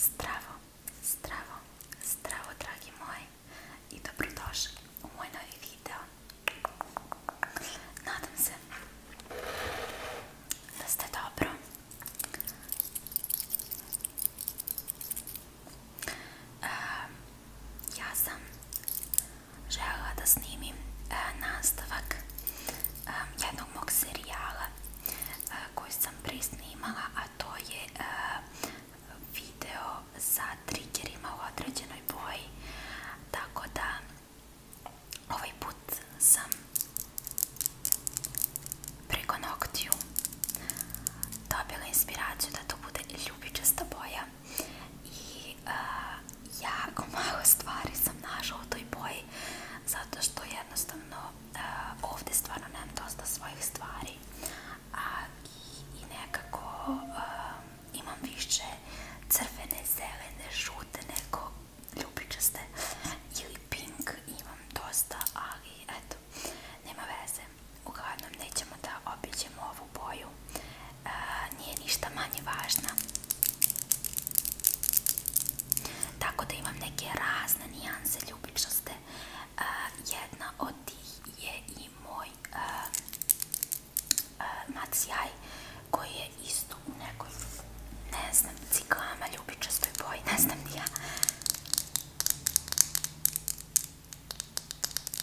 Zdravo, zdravo, zdravo dragi moji i dobrodošli u moj novi video. Nadam se da ste dobro. Um, ja sam željela da snimim e, e, jednog mog serijala e, koji sam prisnimala, a to je e, video sa triggerima određenoj boji, tako da ovaj put sam preko dobila inspiraciju da to bude ljubičasta boja i uh, eh, jako malo stvari sam našla u toj boji zato što jednostavno uh, eh, ovde stvarno nemam dosta svojih stvari a i, i nekako uh, imam više crvene, zelene, žute neko ljubičaste ili pink imam dosta ali eto, nema veze Uglavnom nećemo da obiđemo ovu boju, e, nije ništa manje važna. Tako da imam neke razne nijanse ljubičaste. E, jedna od tih je i moj e, e, macijaj koji je isto u nekoj, ne znam, ciklama ljubičastoj boji, ne znam ni ja.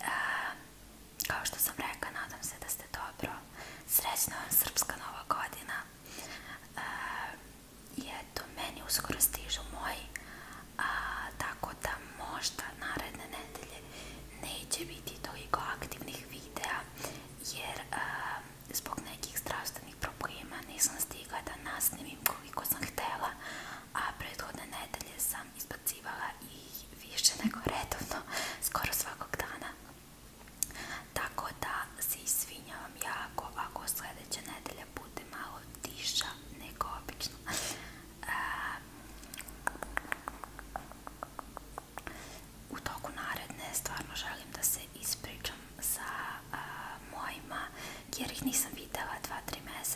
e, kao što sam rekla, nadam se da ste dobro. Srećna vam Srpska Nova godina. E, uh, i eto, meni uskoro stižu moji, a, tako da možda naredne nedelje neće biti toliko aktivnih videa, jer a, uh, zbog nekih zdravstvenih problema nisam stigla da nasnimim koliko sam htela, a prethodne nedelje sam sam izbacivala i više nego redovno, skoro svakog dana. Tako da se izvinjavam jako ako sljedeća nedelja bude malo tiša nego obično. E, u toku naredne stvarno želim da se ispričam sa a, mojima jer ih nisam videla 2-3 mjeseca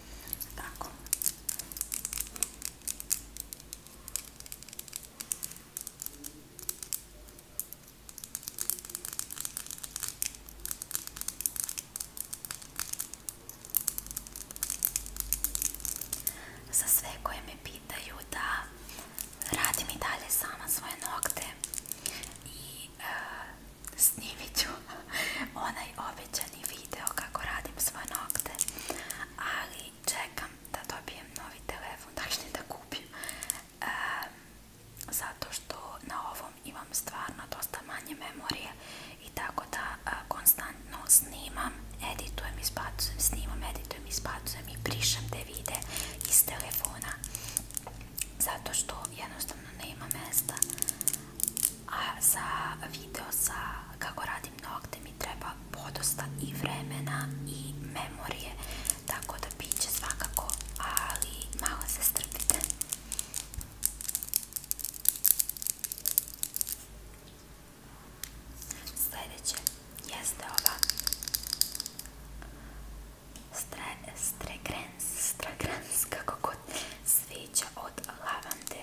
Tako. Za sve koje me pitaju da radim i dalje sama svoje nokte i e, snimit ću onaj običani video kako radim svoje nokte, ali čekam da dobijem novi telefon, dakle da kupim, e, zato što na ovom imam stvarno dosta manje memorije i tako da a, e, konstantno snimam, editujem, izbacujem, snimam, editujem, izbacujem i prišem te vide iz telefona zato što jednostavno nema mesta a za video kako radim nokte mi treba podosta i vremena i memorije tako da bit svakako ali malo se strpite sljedeće jeste ova Stre, stregrens, stregrens, kako god sviđa od lavande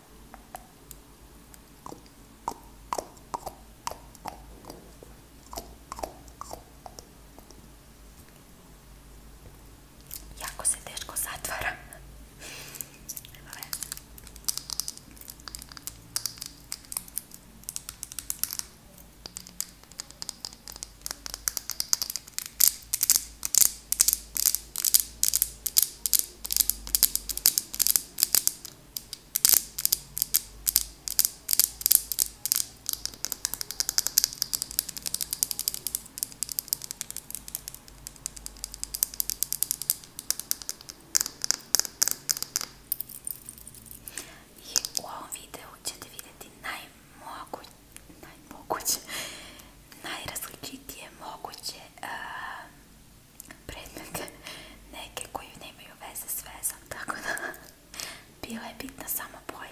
Jako se teško zatvara. Nema veze. I u ovom videu ćete vidjeti najmoguće, najmoguće najrazličitije moguće uh, predmete, neke koji nemaju veze s vezom, tako da bila je bitna samo boja.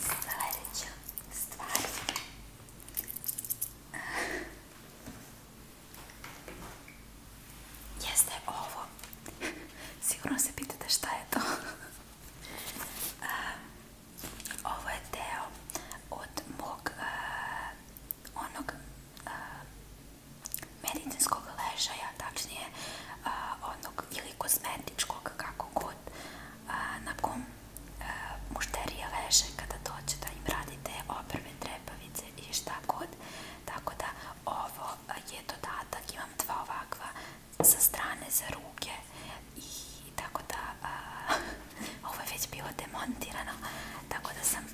Sledeća stvar jeste ovo. Sigurno se pitate šta je to. Ovo je deo od mog onog medicinskog ležaja, tačnije onog ili kozmetičkog, kako god na kom mušterije leže kada dođu da im radite oprve, trepavice i šta god. Tako da ovo je dodatak, imam dva ovakva sa strane za ruke i tako da a, ovo je već bilo demontirano, tako da sam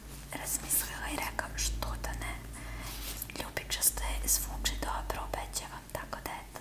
razmislila i rekao što da ne. Ljubičasto je, zvuči dobro, obećavam, tako da eto.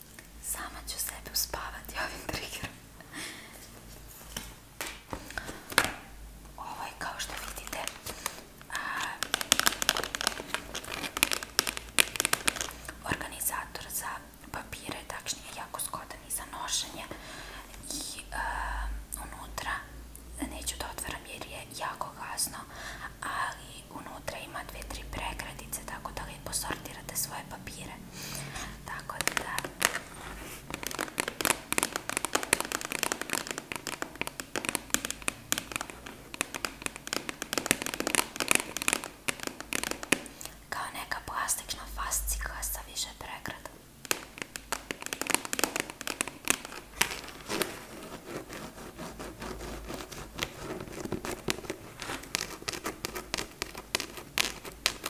Sama ću sebe uspavati ovim triggerom. Ovo je kao što vidite a, organizator za papire, tačnije jako zgodan i za nošenje i a, unutra neću da otvaram jer je jako gasno, ali unutra ima dve, tri pregradice tako da lijepo sortirate svoje papire. Tako da... Kao neka plastična fascika sa više pregrada.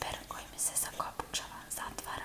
per koji mi se zakopčava, zatvara.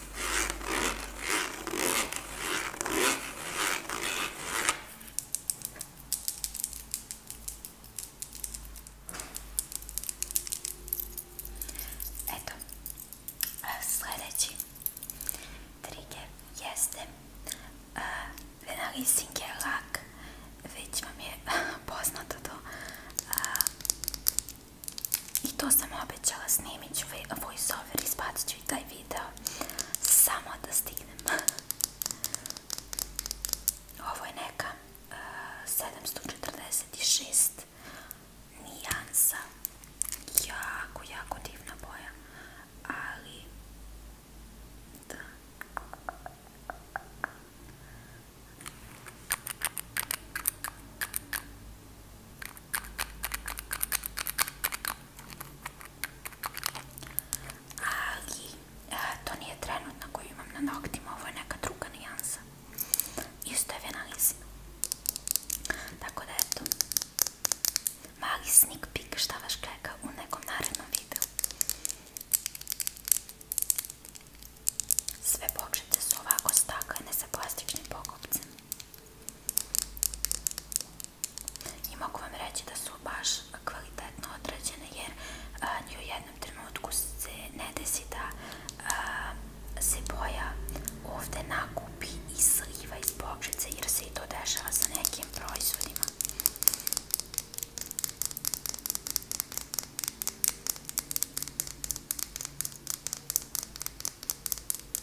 Eto, sljedeći trigger jeste Venalising je lak, već vam je poznato to i to sam obećala, snimit ću voice over, izbacit ću i taj video, samo da stignem. Ovo je neka uh, e, 746 nijansa, jako, jako divna boja, ali da... Ali, e, to nije trenutna koju imam na noktima, ovo je neka druga nijansa. Isto je venalizma. Tako da eto, mali sneak peek šta vas čeka u nekom narednom videu. Sve bočice su ovako staklene sa plastičnim pokopcem i mogu vam reći da su baš kvalitetno odrađene jer a, ni u jednom trenutku se ne desi da a, se boja ovde nakupi i sliva iz bokšice jer se i to dešava sa nekim proizvodima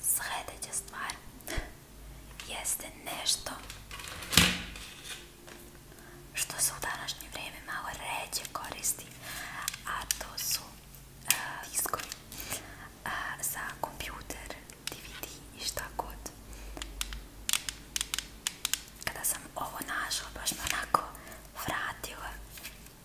Sljedeća stvar jeste nešto što se u današnje vrijeme malo ređe koristi, a to su uh, diskovi uh, za kompjuter, DVD i šta god. Kada sam ovo našla, baš me onako vratila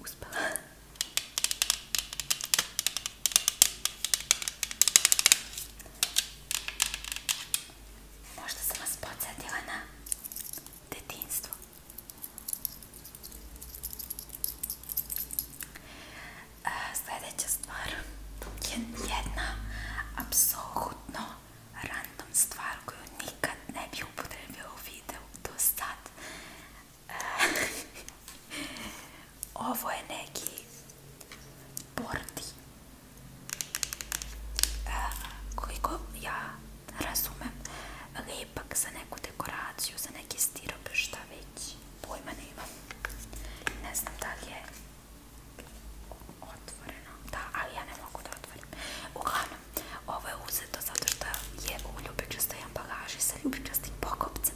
Успела. Možda sam vas podsjetila na detinstvo. Sljedeća stvar je jedna apsolutno random stvar koju nikad ne bi upotrebio u videu do sad. Ovo je neki bordi koliko ja razumem lipak za neku dekoraciju, za neki stirop, šta već, pojma ne imam. Ne znam da li je otvoreno, da, ali ja ne mogu da otvorim. Uglavnom, hrana. Ovo je uzeto zato što je u ljubičastoj ambalaži sa ljubičastim pokopcem.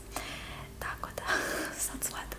Tako da, sad sledate.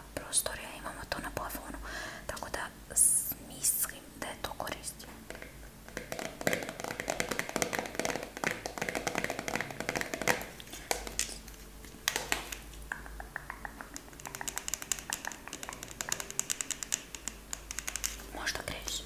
prostore, imamo to na plafonu, tako da mislim da je to koristimo. Možda grešim.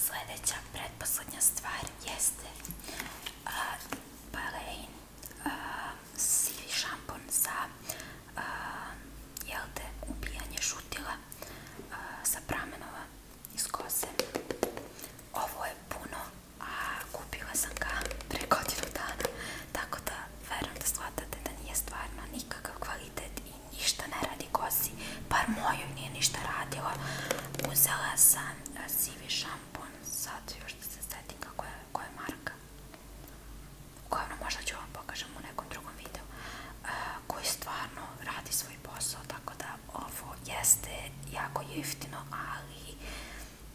Sljedeća pretposlednja stvar jeste uh, Balein uh, sivi šampon za uh, jel te, ubijanje šutila uh, sa pramenova iz kose. Ovo je puno a kupila sam ga pre godinu dana, tako da verujem da shvatate da nije stvarno nikakav kvalitet i ništa ne radi kosi, par mojoj nije ništa radila. Uzela sam sivi šampon, sad još da se setim kako je, koja je marka. Uglavnom možda ću vam pokažem u nekom drugom videu koji stvarno radi svoj posao, tako da ovo jeste jako jeftino, ali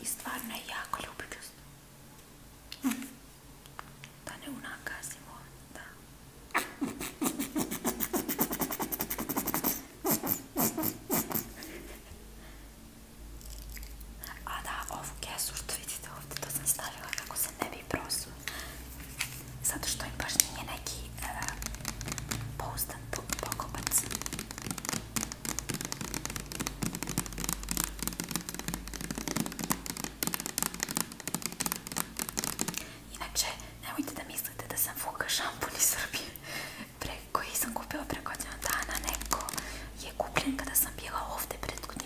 I stvarno je jako ljubičasno. Hm. Mm. Da ne unakazimo, da. A da, ovu kesu što vidite ovdje, to sam stavila kako se ne bi prosuo. zato što im baš nije neki uh, pouzdan pokopac. Inače, nemojte da mislite da sam fuka šampun iz Srbije koji sam kupila preko godina dana, neko je kupljen kada sam bila ovde prethodni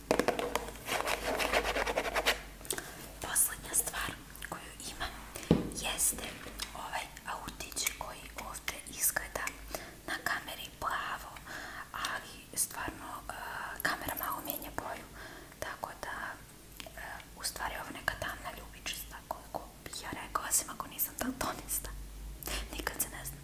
Poslednja stvar koju imam jeste ovaj autić koji ovdje izgleda na kameri plavo, ali stvarno uh, kamera malo mijenja boju, tako da uh, u stvari ovo neka tamna ljubičica koliko bih ja rekao, osim ako nisam daltonista. Nikad se ne znam.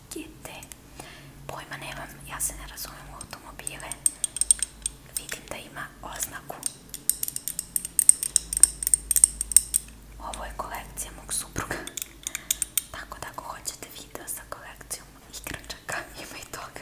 kite. Pojma nemam, ja se ne razumijem u automobile. Vidim da ima oznaku. Ovo je kolekcija mog supruga. Tako da ako hoćete video sa kolekcijom igračaka, ima i toga.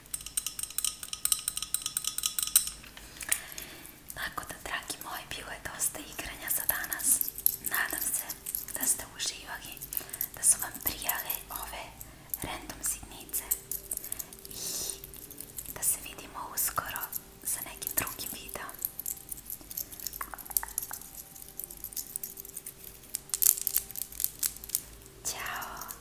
Tako da, dragi moji, bilo je dosta igranja za danas. Nadam se da ste uživali, da su vam prijale ove random sitnice i da se vidimo uskoro sa nekim drugim videom. Ćao!